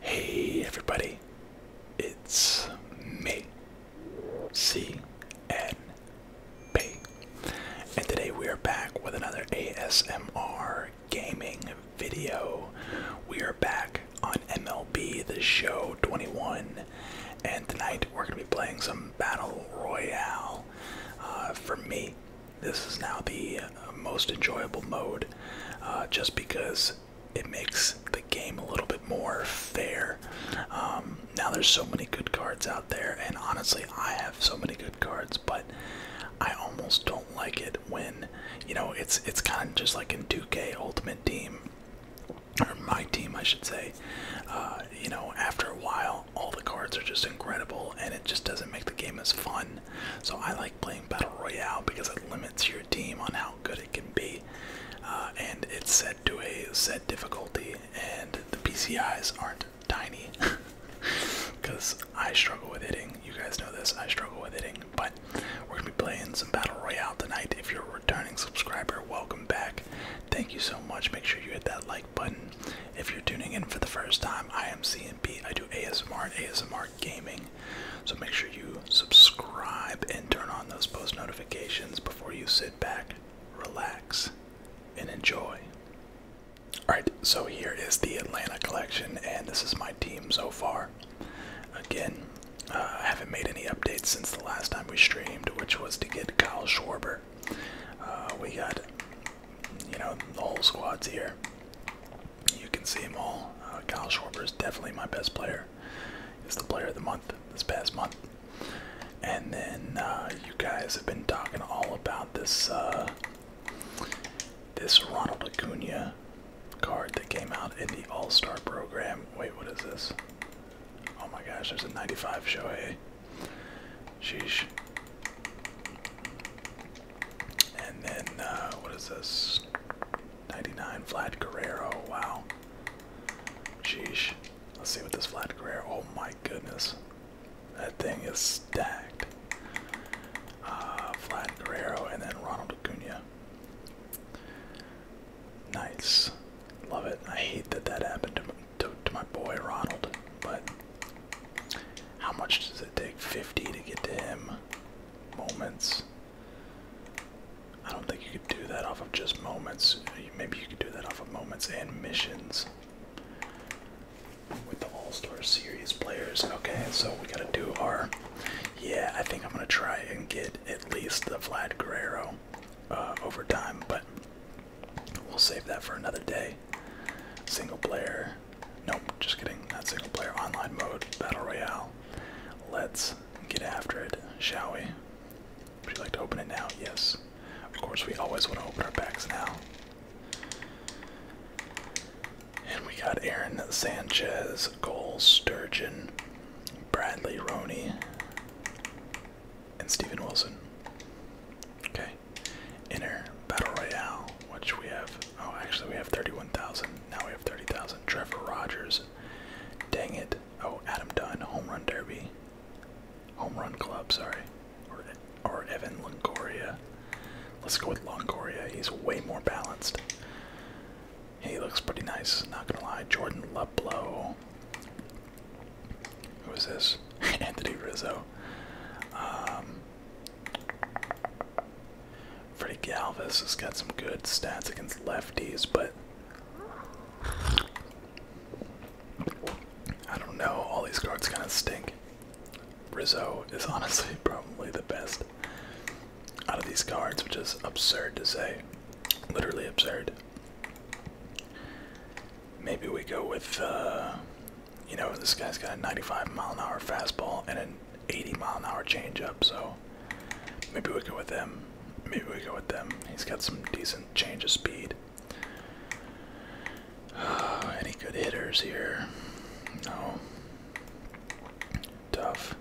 Hey everybody, it's me, C N P, and today we are back with another ASMR gaming video. We are back on MLB The Show 21 and tonight we're going to be playing some Battle Royale. Uh, for me, this is now the uh, most enjoyable mode uh, just because it makes the game a little bit more fair. Um, now there's so many good cards out there, and honestly, I have so many good cards, but I almost don't like it when you know it's it's kind of just like in 2K Ultimate Team or my team, I should say. Uh, you know, after a while, all the cards are just incredible, and it just doesn't make the game as fun. So I like playing Battle Royale because it limits your team on how good it can be, uh, and it's set to a set difficulty, and the PCIs aren't tiny. Because I struggle with hitting. You guys know this. I struggle with hitting. But we're going to be playing some Battle Royale tonight. If you're a returning subscriber, welcome back. Thank you so much. Make sure you hit that like button. If you're tuning in for the first time, I am C and B. I do ASMR and ASMR gaming. So make sure you subscribe and turn on those post notifications before you sit back, relax, and enjoy. Alright, so here is the Atlanta collection, and this is my team so far. Again, uh, I haven't made any updates since the last time we streamed, which was to get Kyle Schwarber uh, we got, you know, the whole squad's here. You can see them all. Uh, Kyle Schwarber is definitely my best player. He's the player of the month this past month. And then uh, you guys have been talking all about this this Ronald Acuna card that came out in the All Star program. Wait, what is this? Oh my gosh, there's a 95 Shohei. Sheesh. And then, uh, what is this? 99 Vlad Guerrero. Wow. Sheesh. Let's see what this Vlad Guerrero. Oh my goodness. That thing is stacked. Uh, Vlad Guerrero and then Ronald Acuna. Nice. Love it. I hate that that happened to me to, my boy Ronald, but how much does it take? 50 to get to him? Moments. I don't think you could do that off of just moments. Maybe you could do that off of moments and missions. With the All-Star Series players. Okay, so we gotta do our... Yeah, I think I'm gonna try and get at least the Vlad Guerrero uh, over time, but We'll save that for another day. Single player. Nope, just kidding. Not single player. Online mode. Battle Royale. Let's get after it, shall we? Would you like to open it now? Yes. Of course, we always want to open our packs now. And we got Aaron Sanchez, Cole Sturgeon, Bradley Roney, and Steven Wilson. Okay. Inner Battle Royale, which we have oh actually we have 31,000. Now we have 30,000. Trevor Rogers. Dang it. Oh, Adam Dunn, home run derby. Home run club, sorry. Or Evan Longoria. Let's go with Longoria. He's way more balanced. He looks pretty nice, not gonna lie. Jordan Luplow. Who is this? Anthony Rizzo. Um, Freddie Galvis has got some good stats against lefties, but I don't know. All these cards kind of stink. Rizzo is honestly probably the best out of these cards, which is absurd to say. Literally absurd. Maybe we go with, uh, you know, this guy's got a 95 mile an hour fastball and an 80 mile an hour changeup, so maybe we go with them. Maybe we go with them. He's got some decent change of speed. Uh, any good hitters here? No. Tough.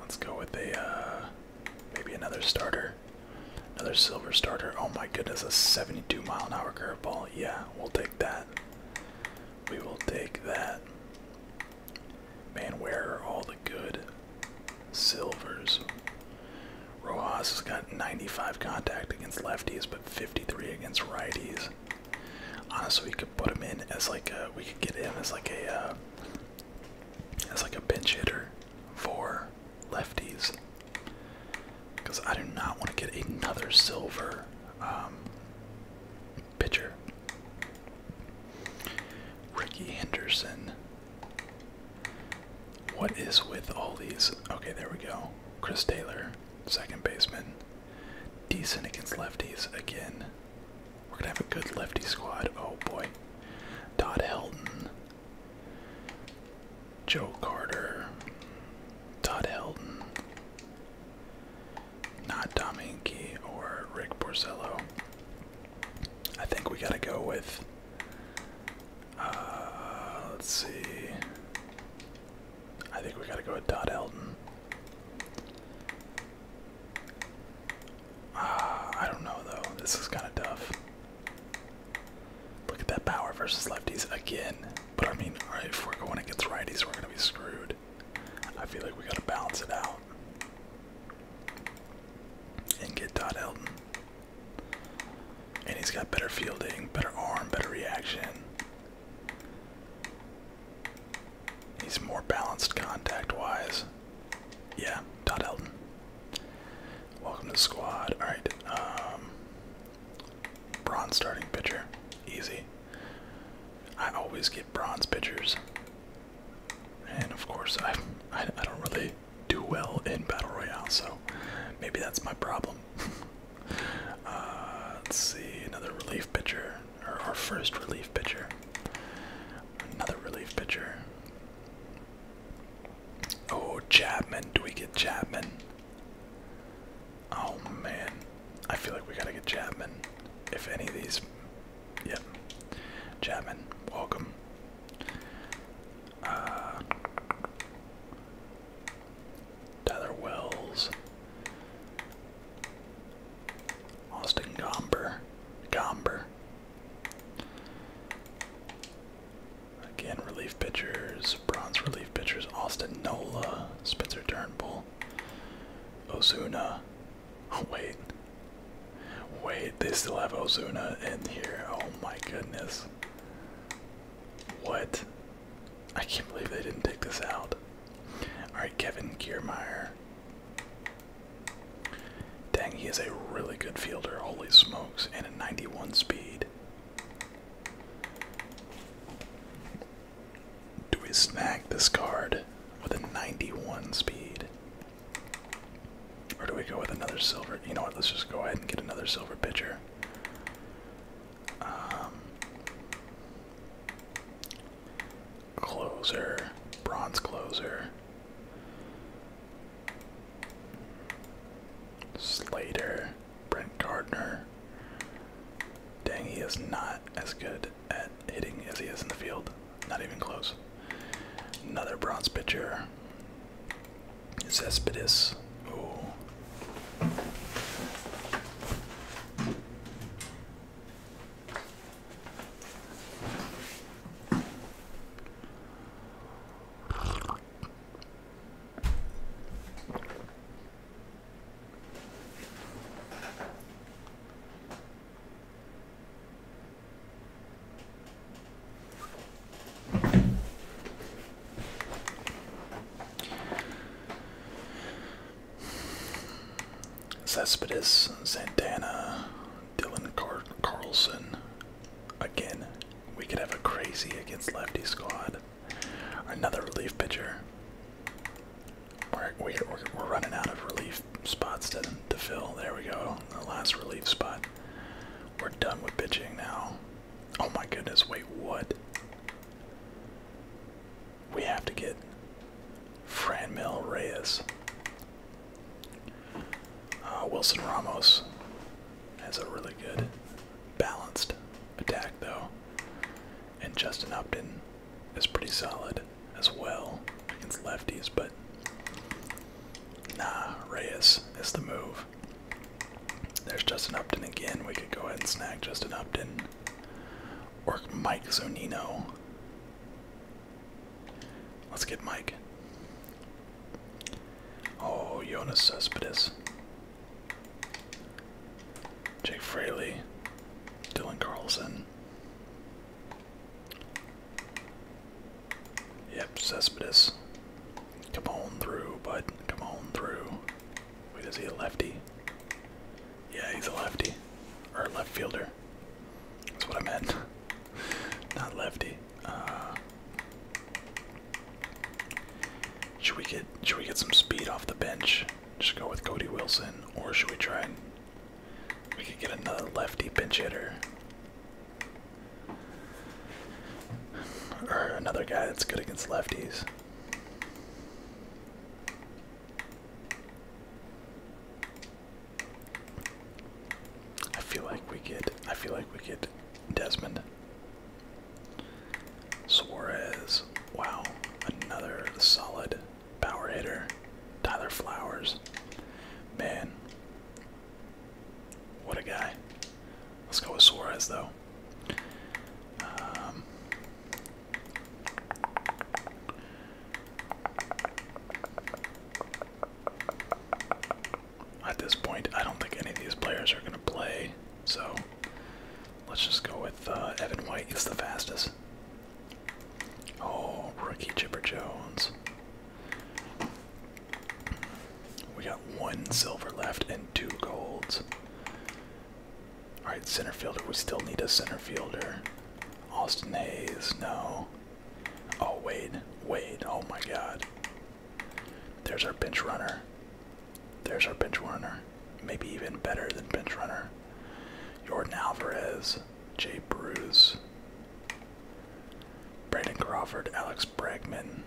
Let's go with a, uh, maybe another starter. Another silver starter. Oh my goodness, a 72 mile an hour curveball. Yeah, we'll take that. We will take that. Man, where are all the good silvers? Rojas has got 95 contact against lefties, but 53 against righties. Honestly, we could put him in as like a, we could get him as like a, uh, as like a bench hitter for lefties. Because I do not want to get another silver um, pitcher. Ricky Henderson. What is with all these? Okay, there we go. Chris Taylor, second baseman. Decent against lefties again. We're going to have a good lefty squad. Oh boy. Dot Helton, Joe Carter, Todd Helton, not Tom or Rick Porcello. I think we gotta go with. Uh, let's see. I think we gotta go with Todd Helton. Uh, I don't know though. This is kind of tough. Look at that power versus lefties again. But I mean, alright, if we're going against righties, we're gonna be screwed. I feel like we gotta balance it out. And get Dot Elton. And he's got better fielding, better arm, better reaction. He's more balanced contact wise. Yeah, Dot Elton. Welcome to the squad. All right, um, bronze starting pitcher, easy. I always get bronze pitchers, and of course I, I don't really do well in battle royale, so maybe that's my problem. Uh, let's see another relief pitcher, or our first relief pitcher, another relief pitcher. Oh, Chapman. Do we get Chapman? Oh, man. I feel like we gotta get Chapman. If any of these. Yep. Chapman, welcome. Uh, Tyler Wells. Austin Gomber. Gomber. Again, relief pitchers, bronze relief pitchers, Austin Nola, Spencer Turnbull, Ozuna. wait. Wait, they still have Ozuna in here. Oh my goodness. What? I can't believe they didn't take this out. Alright, Kevin Kiermeyer. Dang, he is a really good fielder. Always smokes. And a 91 speed. Do we snag this card with a 91 speed? Or do we go with another silver? You know what? Let's just go ahead and get another silver pitcher. Um, closer, bronze closer. Slater. Brent Gardner. Dang, he is not as good at hitting as he is in the field. Not even close. Another bronze pitcher. Cespedes. Ooh. Cespedes, Santana, Dylan Carlson. Again, we could have a crazy against lefty squad. Another relief pitcher. We're, running out of relief spots to, fill. There we go. The last relief spot. We're done with pitching now. Oh my goodness, wait, what? We have to get Franmil Reyes. Uh, Wilson Ramos has a really good balanced attack though. And Justin Upton is pretty solid as well against lefties, but nah, Reyes is the move. There's Justin Upton again. We could go ahead and snag Justin Upton. Or Mike Zonino. Let's get Mike. Oh, Jonas Cespedes. Jake Fraley, Dylan Carlson. Yep, Cespedes. Come on through, bud. Come on through. Wait, is he a lefty? Yeah, he's a lefty. Or a left fielder. That's what I meant. Not lefty. Uh, should we get should we get some speed off the bench? Just go with Cody Wilson, or should we try we could get another lefty pinch hitter? Or another guy that's good against lefties. I feel like we get I feel like we get Desmond. Suarez. Wow. Another solid power hitter. Tyler Flowers. Man. What a guy. Let's go with Suarez, though. Um, at this point, I don't think any of these players are going to play. So let's just go with uh, Evan White. He's the fastest. Oh, rookie Chipper Jones. We got one silver left and two golds. Alright, center fielder. We still need a center fielder. Austin Hayes, no. Oh, wait, wait. oh my god. There's our bench runner. There's our bench runner. Maybe even better than bench runner. Jordan Alvarez, Jay Bruce, Brandon Crawford, Alex Bregman.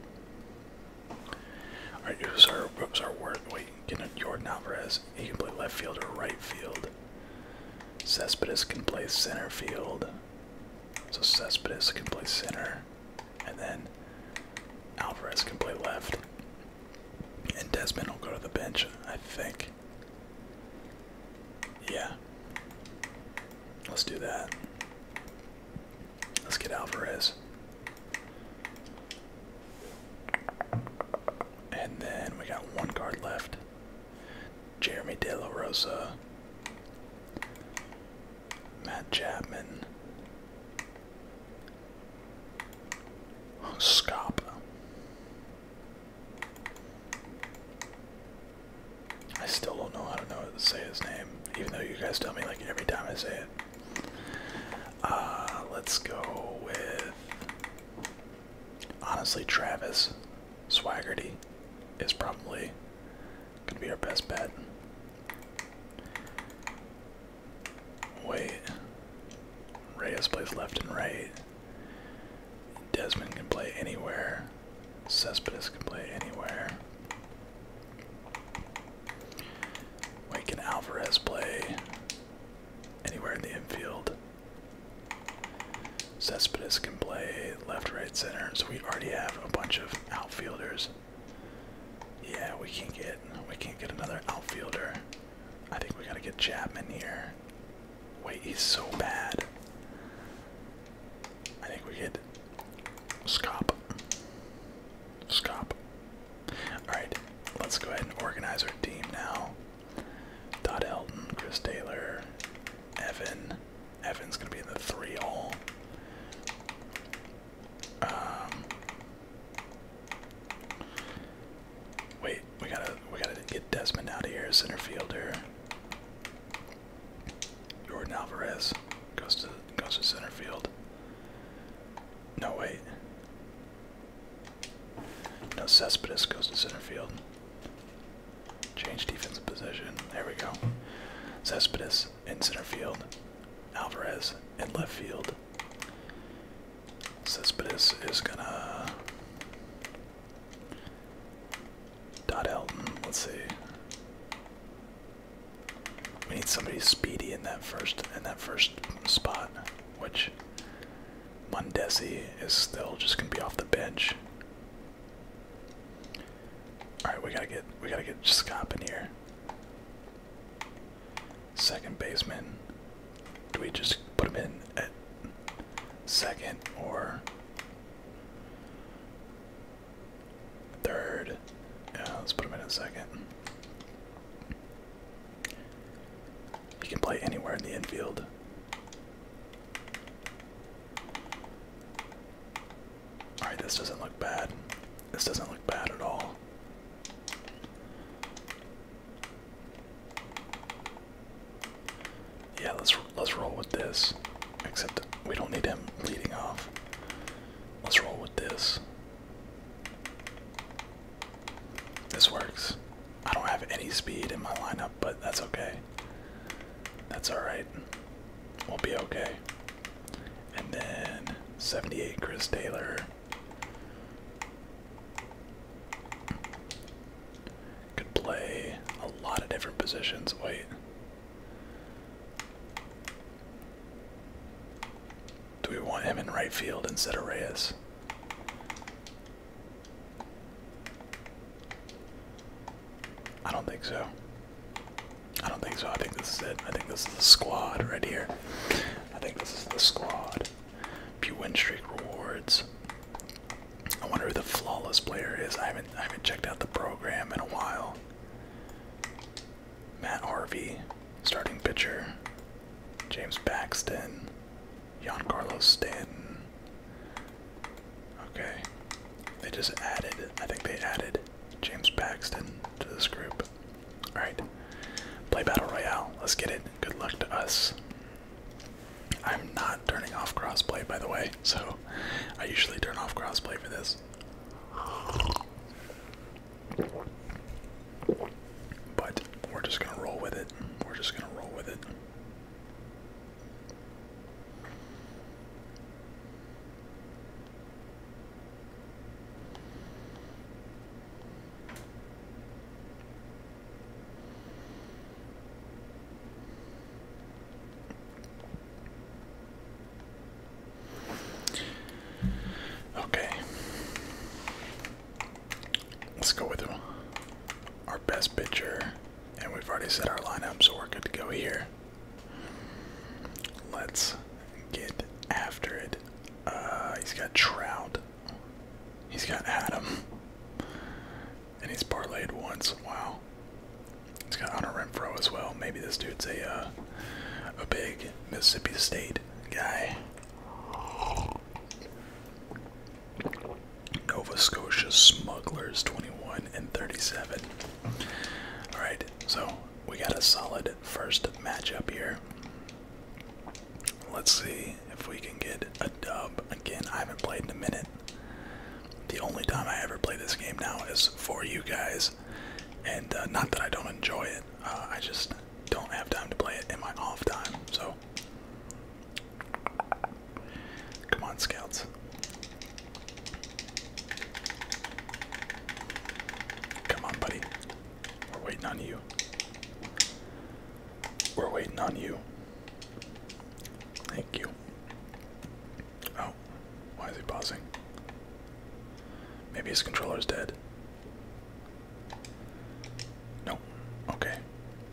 Alright, you who's our, who's are worth. Wait, get a Jordan Alvarez. He can play left field or right field. Cespedes can play center field. So Cespedes can play center and then Alvarez can play left. And Desmond will go to the bench, I think. Yeah. Let's do that. Let's get Alvarez. And then we got one card left. Jeremy De Rosa. Matt Chapman. Scop. I still don't know how to know how to say his name, even though you guys tell me like every time I say it. Uh, let's go with honestly Travis Swaggerty is probably gonna be our best bet. Wait. Reyes plays left and right. Desmond can play anywhere. Cespedes can play anywhere. Wait, can Alvarez play anywhere in the infield? Cespedes can play left, right, center. So we already have a bunch of outfielders. Yeah, we can't get we can't get another outfielder. I think we gotta get Chapman here. Wait, he's so bad. I think we get Scop. Scop. Alright, let's go ahead and organize our team now. Todd Elton, Chris Taylor, Evan. Evan's gonna be in the three all. Um, wait, we gotta we gotta get Desmond out of here, center fielder. Jordan Alvarez goes to goes to center field. No wait. No Cespedes goes to center field. Change defensive position. There we go. Cespedes in center field. Alvarez in left field. Cespedes is gonna. Dot Elton, let's see. We need somebody speedy in that first in that first spot, which Mondesi is still just gonna be off the bench. Alright, we gotta get we gotta get Scop in here. Second baseman. Do we just put him in at second or third? Yeah, let's put him in at second. He can play anywhere in the infield. Alright, this doesn't look bad. This doesn't look bad at all. Yeah, let's let's roll with this. Except we don't need him leading off. Let's roll with this. This works. I don't have any speed in my lineup, but that's okay. That's alright. We'll be okay. And then 78 Chris Taylor. Could play a lot of different positions. Wait. Do we want him in right field instead of Reyes? I don't think so. I don't think so. I think this is it. I think this is the squad right here. I think this is the squad. Pew win streak rewards. I wonder who the flawless player is. I haven't I haven't checked out the program in a while. Matt Harvey, starting pitcher. James Paxton. Giancarlo Stanton. Okay. They just added I think they added James Paxton to this group. Alright. Play Battle Royale. Let's get it. Good luck to us. I'm not turning off crossplay, by the way, so I usually turn off crossplay for this. But we're just gonna roll with it. We're just gonna roll with it. Okay. Let's go with our best pitcher. And we've already set our lineup, so we're good to go here. Let's get after it uh, he's got Trout. He's got Adam. And he's parlayed once. Wow. He's got Honor Renfro as well. Maybe this dude's a uh, a big Mississippi State guy. Nova Scotia Smugglers 21 and 37. Alright, so we got a solid first matchup here. Let's see if we can get a dub. Again, I haven't played in a minute. The only time I ever play this game now is for you guys. And uh, not that I don't enjoy it, uh, I just don't have time to play it in my off time. So, come on, Scouts. Come on, buddy. We're waiting on you. We're waiting on you. Thank you. Oh, why is he pausing? Maybe his controller's dead. No. Okay.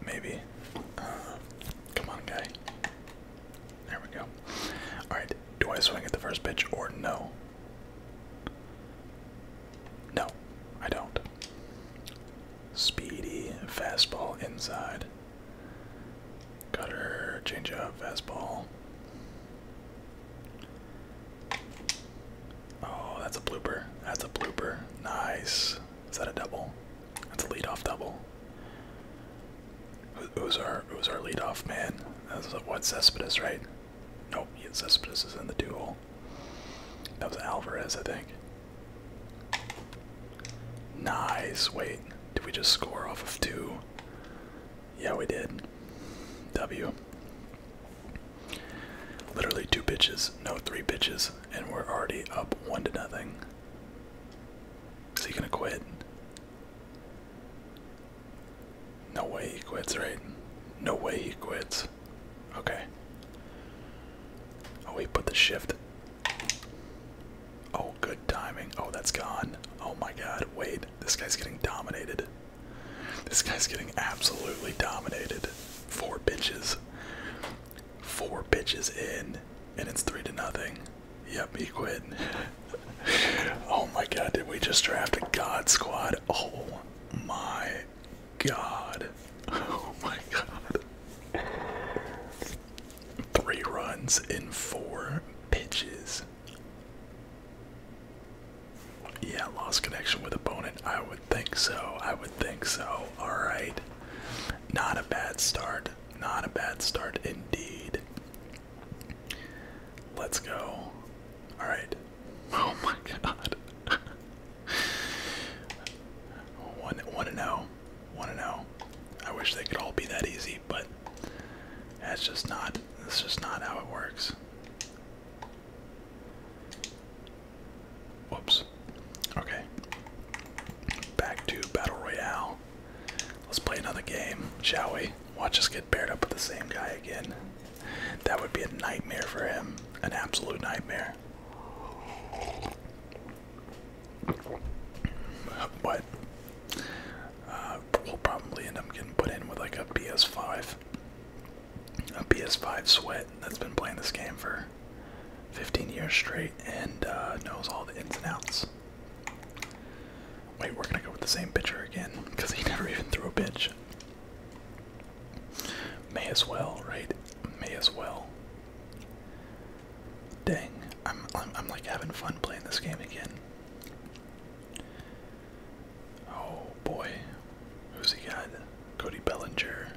Maybe. Uh, come on, guy. There we go. Alright, do I swing at the first pitch or no? No, I don't. Speedy fastball inside. Cutter, change up, fastball. Oh, that's a blooper. That's a blooper. Nice. Is that a double? That's a leadoff double. Who's our who's our leadoff man? That's what Cespedes, right? Nope, Cespedes is in the duel. That was Alvarez, I think. Nice. Wait, did we just score off of two? Yeah, we did. W. Literally two pitches, no three pitches, and we're already up one to nothing. Is he gonna quit? No way he quits, right? No way he quits. Okay. Oh, he put the shift. Oh, good timing. Oh, that's gone. Oh my god, wait. This guy's getting dominated. This guy's getting absolutely dominated. Four bitches. Four bitches in, and it's three to nothing. Yep, he quit. oh my god, did we just draft a god squad? Oh my god. Oh my god. Three runs in four pitches. Yeah, lost connection with opponent. I would think so. I would think so. Alright. Not a bad start. Not a bad start indeed. Let's go. Alright. Oh my god. 1 1 and 0. 1 0. I wish they could all be that easy, but that's just not that's just not how it works. Whoops. Okay. Back to Battle Royale. Let's play another game, shall we? Watch us get paired up with the same guy again. That would be a nightmare for him. An absolute nightmare. But uh, we'll probably end up getting put in with like a PS5. A PS5 sweat that's been playing this game for 15 years straight and uh, knows all the ins and outs. Wait, we're gonna go with the same pitcher again because he never even threw a bitch. May as well, right? May as well. Dang, I'm, I'm, I'm like having fun playing this game again. Oh boy, who's he got? Cody Bellinger.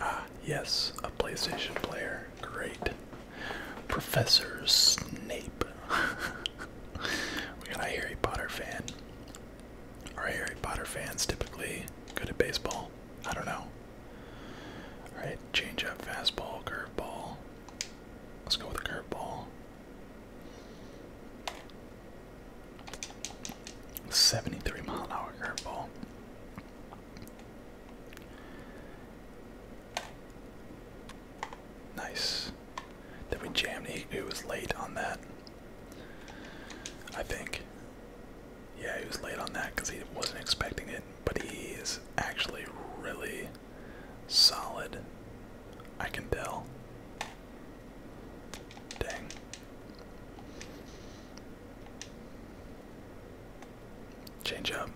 Ah, yes, a PlayStation player. Great. Professor Snape. we got a Harry Potter fan. Are Harry Potter fans typically good at baseball? I don't know. Alright, change up, fastball, curveball. Let's go with a curveball. 73 mile an hour curveball. Nice. Then we jammed eight. It was late on that. I think. Yeah, he was late on that because he wasn't expecting it. But he is actually really solid. I can tell. Dang. Change up.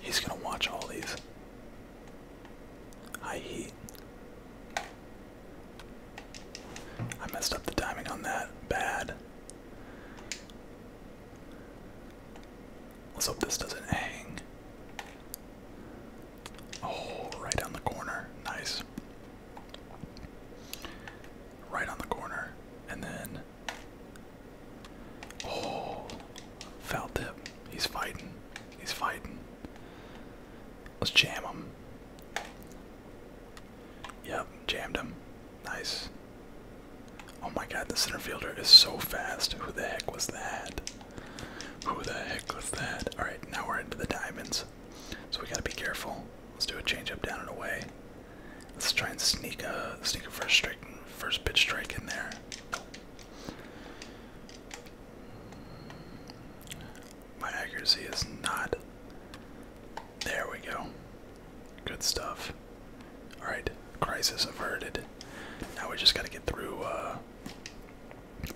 He's gonna watch all these. High heat. I messed up the timing on that. Bad. Let's hope this doesn't hang. Oh, right on the corner. Nice. Right on the corner. And then Oh, felt tip. He's fighting. He's fighting. Let's jam him. Yep, jammed him. Nice. Oh my god, the center fielder is so fast. Who the heck was that? Who the heck was that? Alright, now we're into the diamonds. So we gotta be careful. Let's do a change up down and away. Let's try and sneak a sneak a first strike first pitch strike in there. My accuracy is not. There we go. Good stuff. Alright, crisis averted. Now we just gotta get through, uh.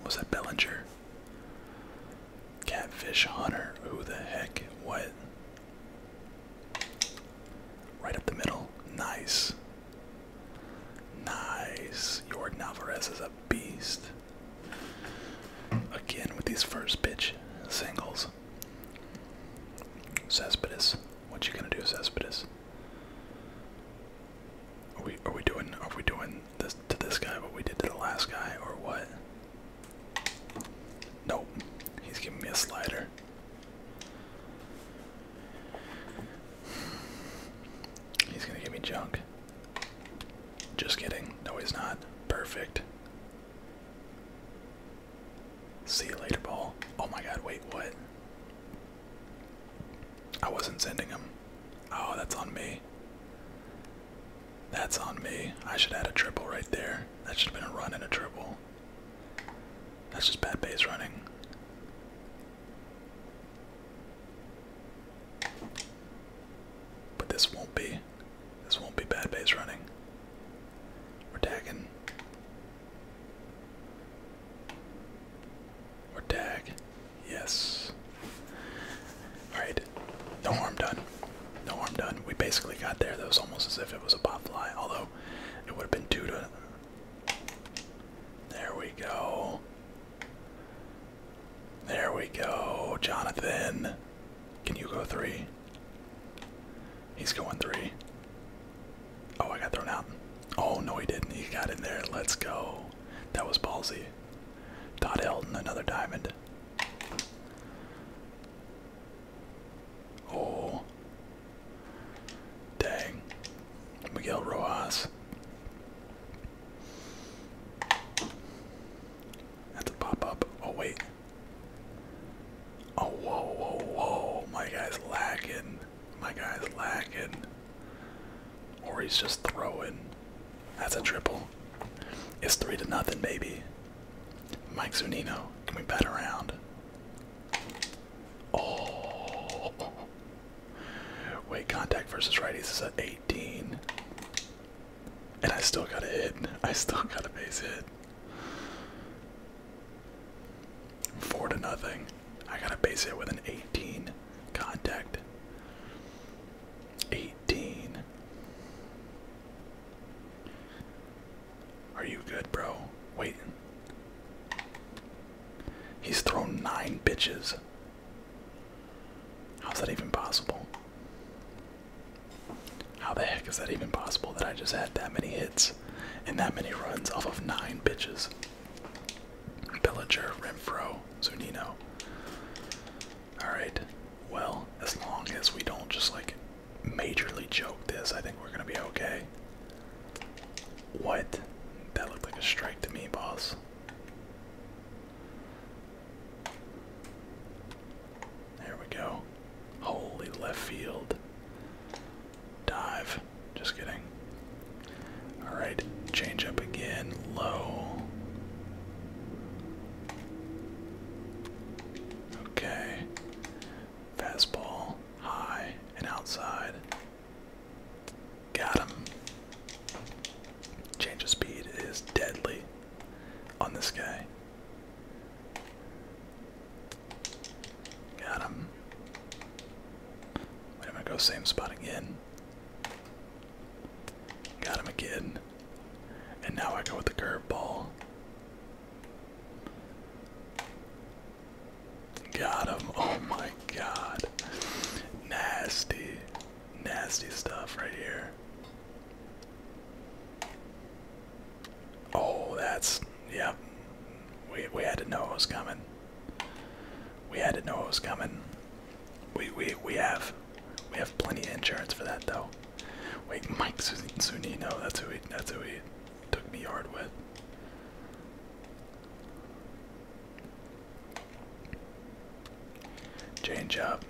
Was that Bellinger? Catfish Hunter. Who the heck? What? Right up the middle. Nice. Nice. Jordan Alvarez is a beast. Again with these first pitch singles. Cespedes. What you gonna do, Cespedes? Are we are we doing are we doing this to this guy what we did to the last guy or what? Nope. He's giving me a slider. He's gonna give me junk. Just kidding. No, he's not. Perfect. See you later, ball. Oh my god, wait, what? I wasn't sending him. Oh, that's on me. That's on me. I should add a triple right there. That should have been a run and a triple. That's just bad base running. But this won't be this won't be bad base running. We're tagging. Or tag. Yes. Alright. No harm done. No harm done. We basically got there. That was almost as if it was a pop fly, although it would have been due to there we go. There we go. Jonathan. Can you go three? He's going three. Oh, I got thrown out. Oh, no, he didn't. He got in there. Let's go. That was balsy. Dot Elton, another diamond. Oh, Dang. Miguel Rojas. That's a pop-up. Oh wait. Oh whoa whoa whoa. My guy's lacking. My guy's lacking. Or he's just throwing. That's a triple. It's three to nothing, baby. Mike Zunino, can we bet around? Oh, Wait, contact versus righties is at 18. And I still got a hit. I still got a base hit. Four to nothing. I got a base hit with an 18 contact. 18. Are you good, bro? Wait. He's thrown nine bitches. How's that even possible? How the heck is that even possible that I just had that many hits and that many runs off of nine bitches? Bellinger, Renfro, Zunino. Alright, well, as long as we don't just like majorly choke this, I think we're gonna be okay. What? That looked like a strike to me, boss. There we go. Holy left field. Dive. Just kidding. Alright, change up again. Low. Okay. Fastball. High and outside. Got him. Change of speed is deadly on this guy. Got him. I'm gonna go same spot again. Got him again. And now I go with the curveball. Got him. Oh my god. Nasty. Nasty stuff right here. Oh, that's yep. We we had to know it was coming. We had to know it was coming. We we we have we have plenty of insurance for that though. Wait, Mike Zunino, that's who that's who we took me hard with. Change up.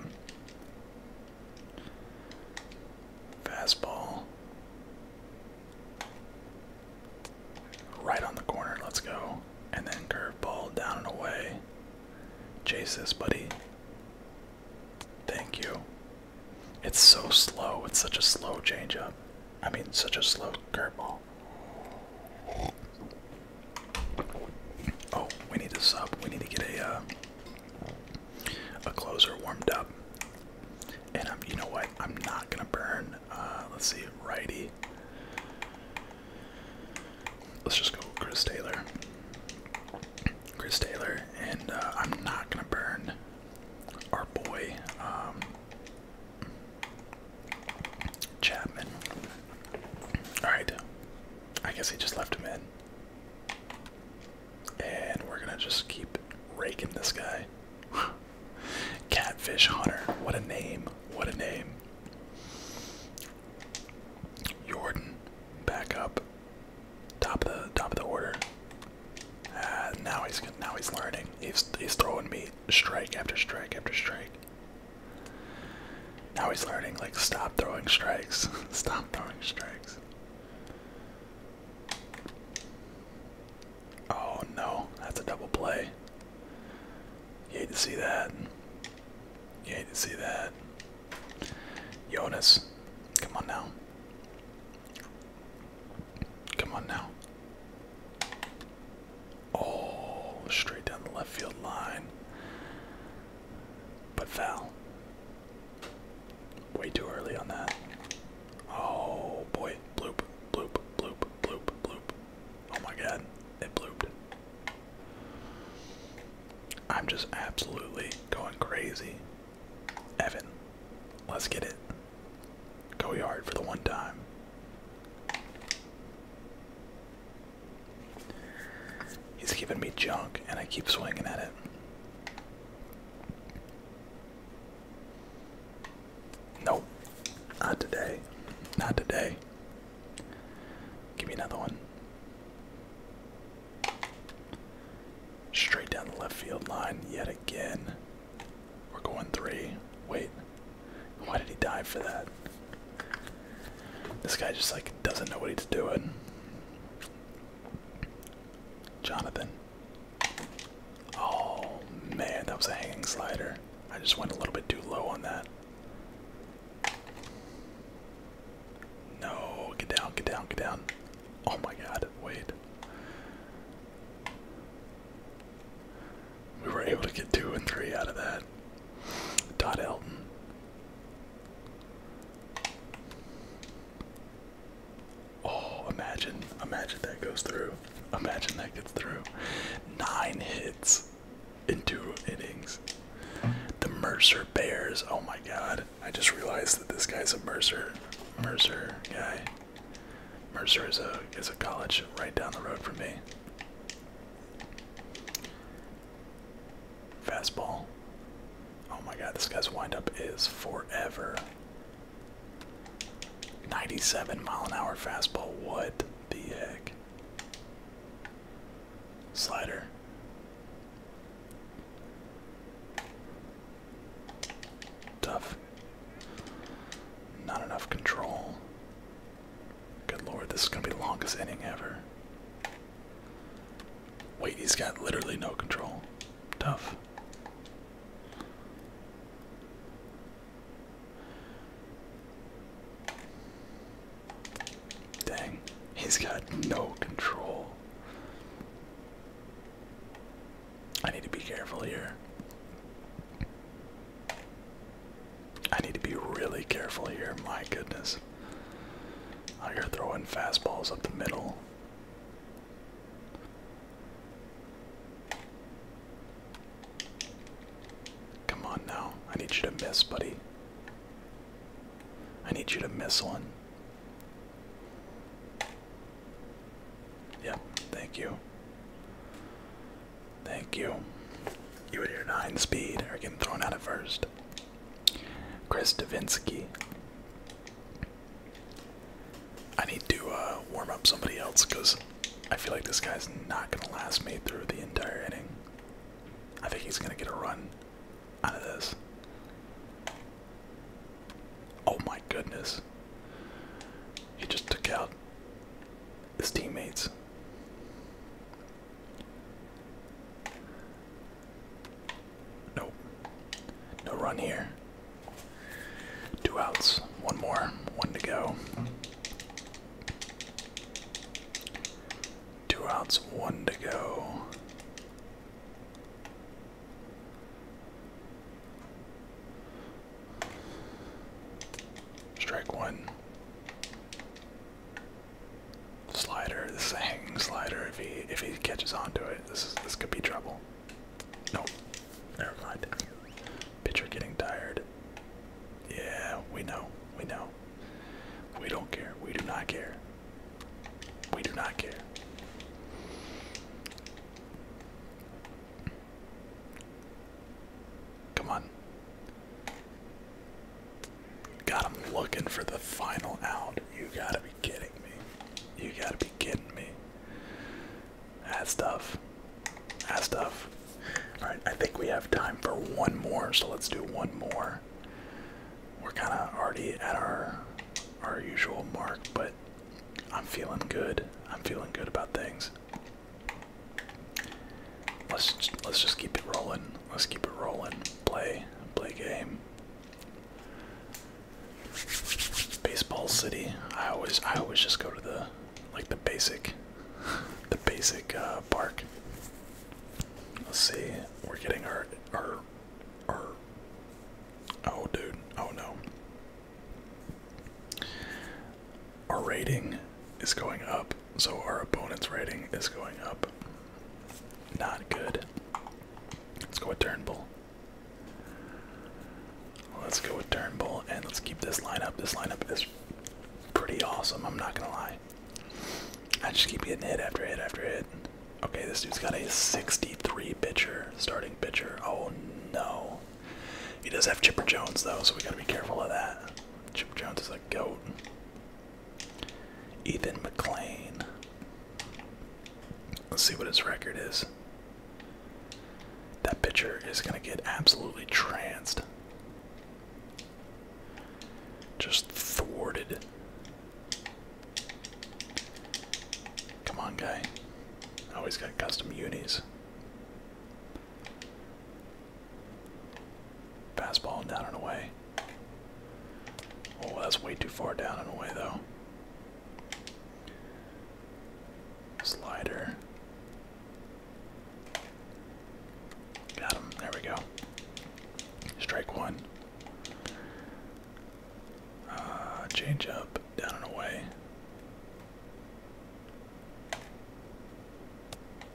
Fastball. Right on the corner, let's go. And then curve ball down and away. Chase this, buddy. Thank you. It's so slow. It's such a slow change up. I mean, such a slow curve ball. Oh, we need to sub. We need to get a uh, a closer warmed up. And I'm, you know what? I'm not gonna burn. Uh, let's see, righty. Let's just go Chris Taylor. Chris Taylor, and uh, I'm not gonna burn our boy. Um, Chapman. Alright. I guess he just left him in. And we're gonna just keep raking this guy. Catfish Hunter. What a name. What a name. Jordan. Back up. Top of the top of the order. Uh, now he's now he's learning. He's he's throwing me strike after strike after strike. Now he's learning, like, stop throwing strikes. stop throwing strikes. Oh no, that's a double play. You hate to see that. You hate to see that. Jonas, come on now. Come on now. Oh, straight down the left field line. But foul. Way too early on that. Oh boy. Bloop, bloop, bloop, bloop, bloop. Oh my god. It blooped. I'm just absolutely going crazy. Evan, let's get it. Go yard for the one time. He's giving me junk, and I keep swinging at it. Nope. Not today. Not today. Give me another one. Straight down the left field line yet again. We're going three. Wait. Why did he dive for that? This guy just like doesn't know what he's doing. Jonathan. Oh man, that was a hanging slider. I just went a little bit too low on that. No, get down, get down, get down. Oh my god, wait. We were able to get two and three out of that. Dot Elton. Oh, imagine, imagine that goes through. Imagine that gets through. Nine hits in two innings. The Mercer Bears. Oh my god. I just realized that this guy's a Mercer Mercer guy. Mercer is a is a college right down the road from me. Fastball. Oh my god, this guy's windup is forever. 97 mile an hour fastball. What the heck? Slider. Tough. Not enough control. Good lord, this is gonna be the longest inning ever. Wait, he's got literally no control. Tough. Dang, he's got no control. I need to be careful here. I need to be really careful here. My goodness. Out here throwing fastballs up the middle. Come on now. I need you to miss, buddy. I need you to miss one. Yep, thank you. Thank you. You and your nine speed are getting thrown out at first. Chris Davinsky. I need to uh, warm up somebody else because I feel like this guy's not going to last me through the entire inning. I think he's going to get a run out of this. Oh my goodness. He just took out his teammates. Nope. No run here. Two outs. One more. One to go. Two outs. One to go. Strike one. Slider. This is a hanging slider. If he if he catches onto it, this this could be trouble. Nope. Never mind. Pitcher getting tired. Yeah, we know. We know. We don't care. We do not care. We do not care. Come on. Got him looking for the final out. You gotta be kidding me. You gotta be kidding me. That's tough. That's tough. Alright, I think we have time for one more, so let's do one more. We're kinda already at our our usual mark, but I'm feeling good. I'm feeling good about things. Let's let's just keep it rolling. Let's keep it rolling. Play play game. Baseball City. I always I always just go to the like the basic the basic uh, park. Let's see. We're getting our our our oh dude oh no. Our rating is going up. So our opponent's rating is going up. Not good. Let's go with Turnbull. Let's go with Turnbull and let's keep this lineup. This lineup is pretty awesome, I'm not gonna lie. I just keep getting hit after hit after hit. Okay, this dude's got a 63 pitcher, starting pitcher. Oh no. He does have Chipper Jones though, so we gotta be careful of that. Chipper Jones is a goat. Ethan McLean. Let's see what his record is. That pitcher is going to get absolutely tranced. Just thwarted. Come on, guy. Always oh, got custom unis. Fastball down and away. Oh, that's way too far down and away, though. Slider. Got him. There we go. Strike one. Uh, change up, down and away.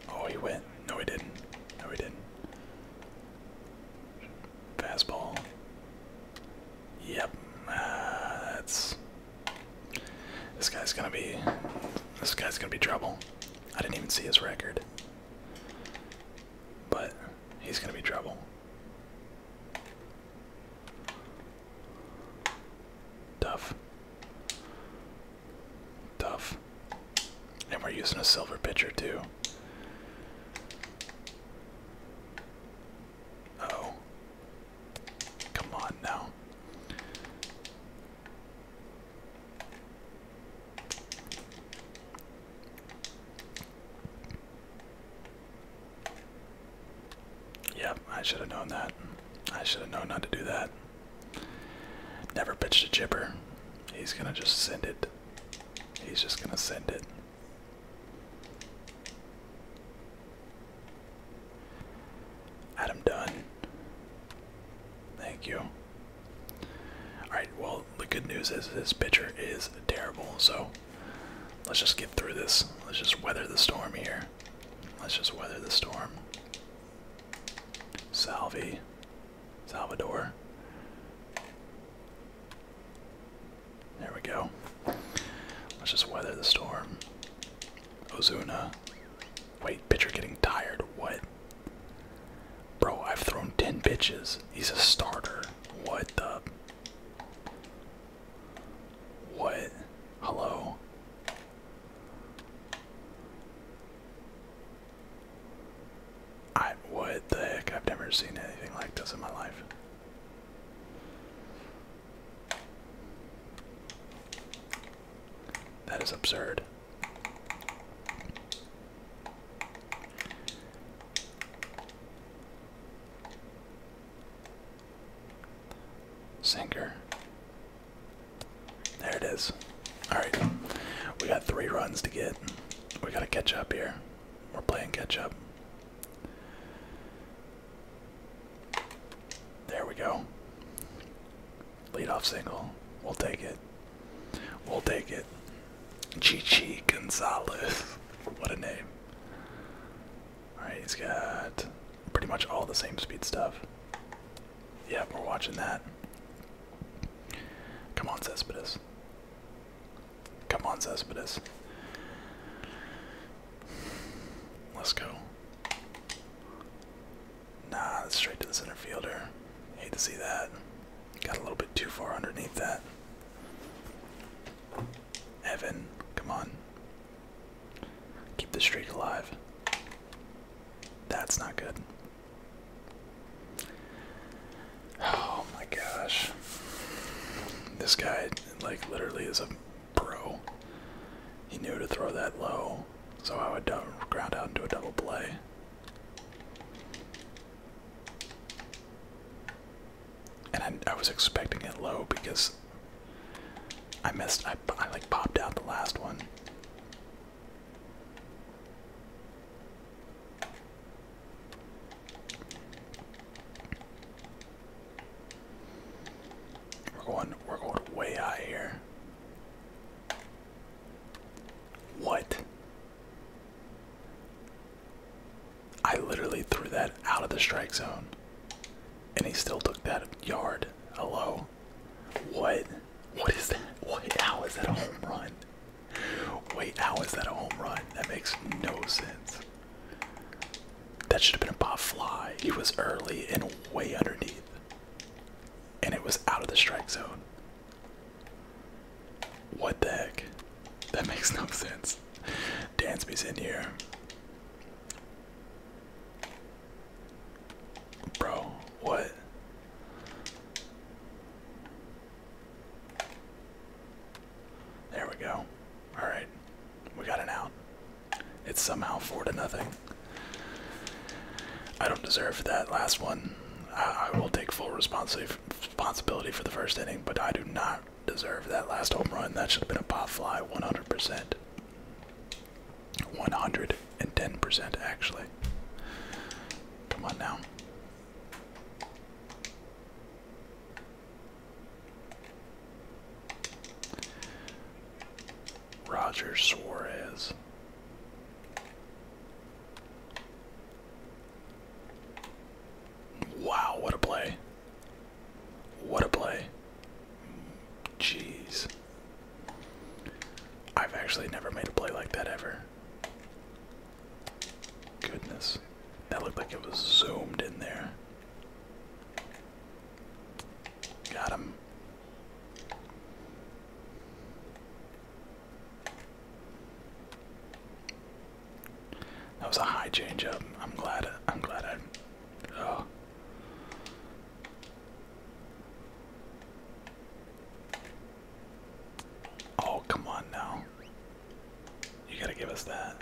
Oh, he went. No, he didn't. No, he didn't. Fastball. Yep. Ah, that's. This guy's gonna be. This guy's gonna be trouble. I didn't even see his record. But he's gonna be trouble. Tough. Tough. And we're using a silver pitcher too. oh. Come on now. Yep, I should have known that. I should have known not to do that. Never pitched a chipper. He's gonna just send it. He's just gonna send it. Adam done. Thank you. Alright, well, the good news is this pitcher is terrible, so let's just get through this. Let's just weather the storm here. Let's just weather the storm. Salvi. Salvador. There we go. Let's just weather the storm. Ozuna. Wait, pitcher getting tired. What? Bro, I've thrown 10 pitches. He's a starter. What the? What? Hello? I what the heck? I've never seen anything like this in my life. That is absurd. Sinker. There it is. Alright. We got three runs to get. We gotta catch up here. We're playing catch up. There we go. Lead off single. We'll take it. We'll take it. Chichi Gonzalez. What a name. Alright, he's got pretty much all the same speed stuff. Yeah, we're watching that. Come on, Cespedes. Come on, Cespedes. Let's go. Nah, that's straight to the center fielder. Hate to see that. Got a little bit too far underneath that. Evan, come on. Keep the streak alive. That's not good. Oh my gosh. This guy, like, literally is a pro. He knew to throw that low, so I would ground out into a double play. And I, was expecting it low because I missed, I like popped out the last one. We're going we're going way high here. What? I literally threw that out of the strike zone. And he still took that yard. Hello? What? What is that? How is that a home run? Wait, how is that a home run? That makes no sense. That should have been a pop fly. He was early and way underneath. And it was out of the strike zone. What the heck? That makes no sense. Dansby's in here. Bro, what? There we go. Alright. We got it out. It's somehow four to nothing. I don't deserve that last one. I, will take full responsibility for the first inning, but I do not deserve that last home run. That should have been a pop fly 100%. 110% actually. Come on now. Roger Suarez. Wow, what a play. What a play. Jeez. I've actually never made a play like that ever. Goodness. That looked like it was zoomed in there. Got him. That was a high change up. I'm glad I'm glad I oh. Oh, come on now. You gotta give us that.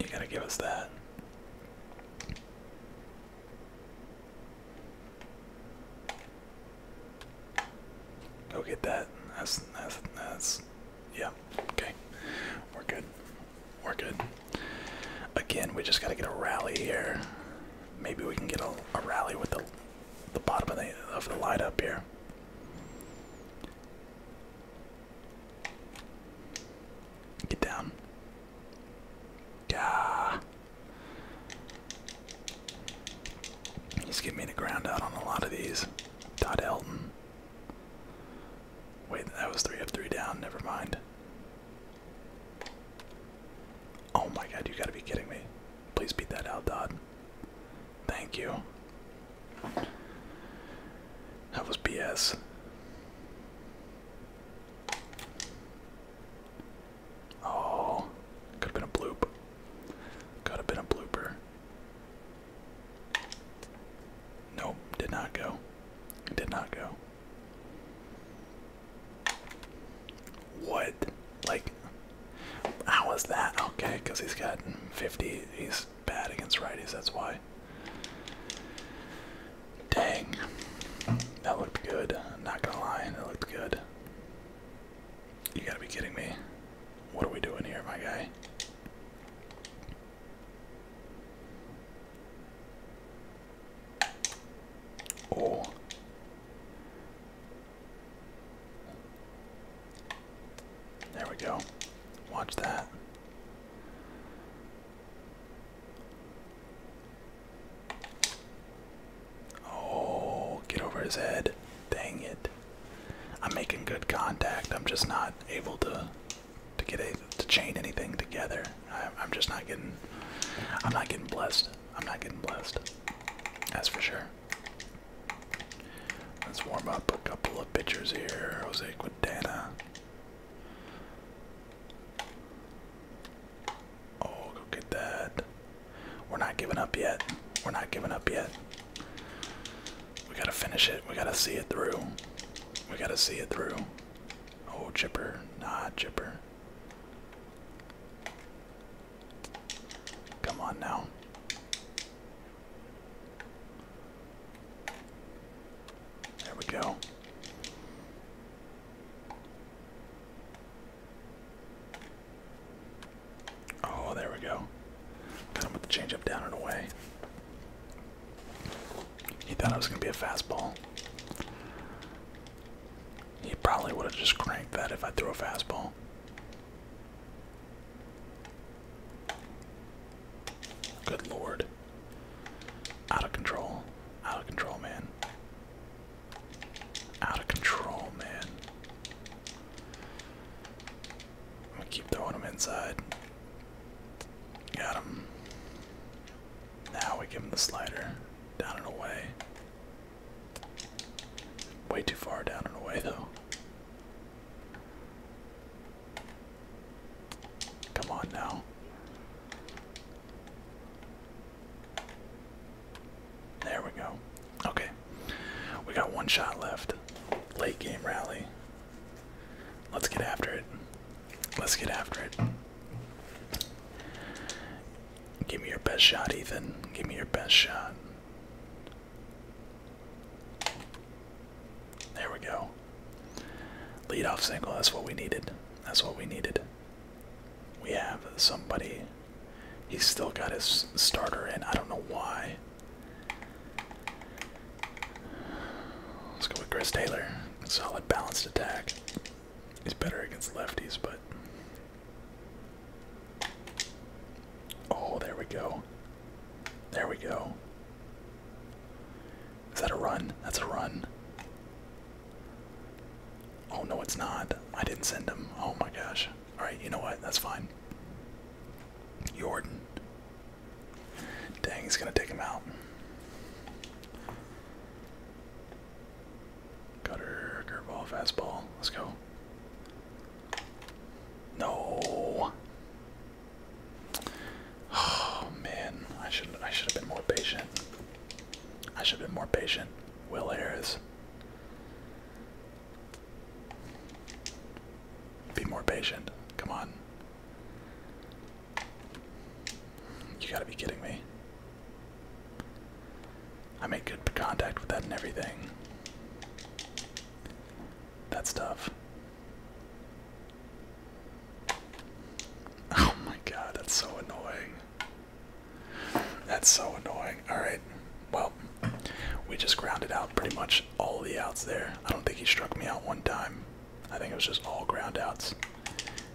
You gotta give us that. Go get that. That's that's that's yeah. Okay, we're good. We're good. Again, we just gotta get a rally here. Maybe we can get a, a rally with the the bottom of the, of the light up here. Get down. Gah. He's getting me to ground out on a lot of these. Dot Elton. Wait, that was three up, three down. Never mind. Oh my god, you gotta be kidding me. Please beat that out, Dodd. Thank you. That was BS. Oh, could have been a bloop. Could have been a blooper. Nope, did not go. did not go. What? Like, how was that? Okay, because he's got 50. He's bad against righties, that's why. Dang. That looked good. I'm not gonna lie, that looked good. You gotta be kidding me. What are we doing here, my guy? Oh. There we go. Watch that. Oh, get over his head. Dang it. I'm making good contact. I'm just not able to to get to chain anything together. I, I'm just not getting I'm not getting blessed. I'm not getting blessed. That's for sure. Let's warm up a couple of pitchers here. Jose Quintana. Oh, go get that. We're not giving up yet. We're not giving up yet. We gotta finish it. We gotta see it through. We gotta see it through. Oh, chipper. Nah, chipper. Come on now. There we go. Oh, there we go. Got him with the changeup down and away. He thought it was going to be a fastball. He probably would have just cranked that if I threw a fastball. Good lord. Out of control. Out of control, man. Out of control, man. I'm gonna keep throwing him inside. Got him. Now we give him the slider. Down and away. Way too far down and away, though. Come on now. There we go. Okay. We got one shot left. Late game rally. Let's get after it. Let's get after it. Give me your best shot, Ethan. Give me your best shot. There we go. Lead off single. That's what we needed. That's what we needed. We have somebody. He's still got his starter in. I don't know why. Let's go with Chris Taylor. Solid balanced attack. He's better against lefties, but Oh, there we go. There we go. Is that a run? That's a run. Oh, no, it's not. I didn't send him. Oh my gosh. Alright, you know what? That's fine. Jordan. Dang, he's gonna take him out. Cutter, curveball, fastball. Let's go. No. Oh man, I should I should have been more patient. I should have been more patient. Will Harris. Be more patient. Come on. You gotta be kidding me. I make good contact with that and everything. That's tough. Oh my god, that's so annoying. That's so annoying. Alright, well, we just grounded out pretty much all the outs there. I don't think he struck me out one time. I think it was just all ground outs.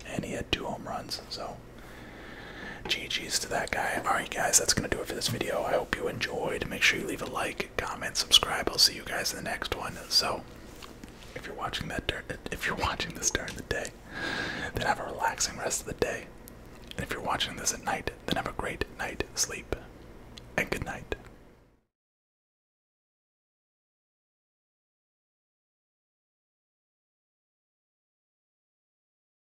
And he had two home runs, so well. to that guy. Alright, guys, that's going to do it for this video. I hope you enjoyed. Make sure you leave a like, comment, subscribe. I'll see you guys in the next one. So, if you're watching that if you're watching this during the day, then have a relaxing rest of the day. And if you're watching this at night, then have a great night sleep. And good night.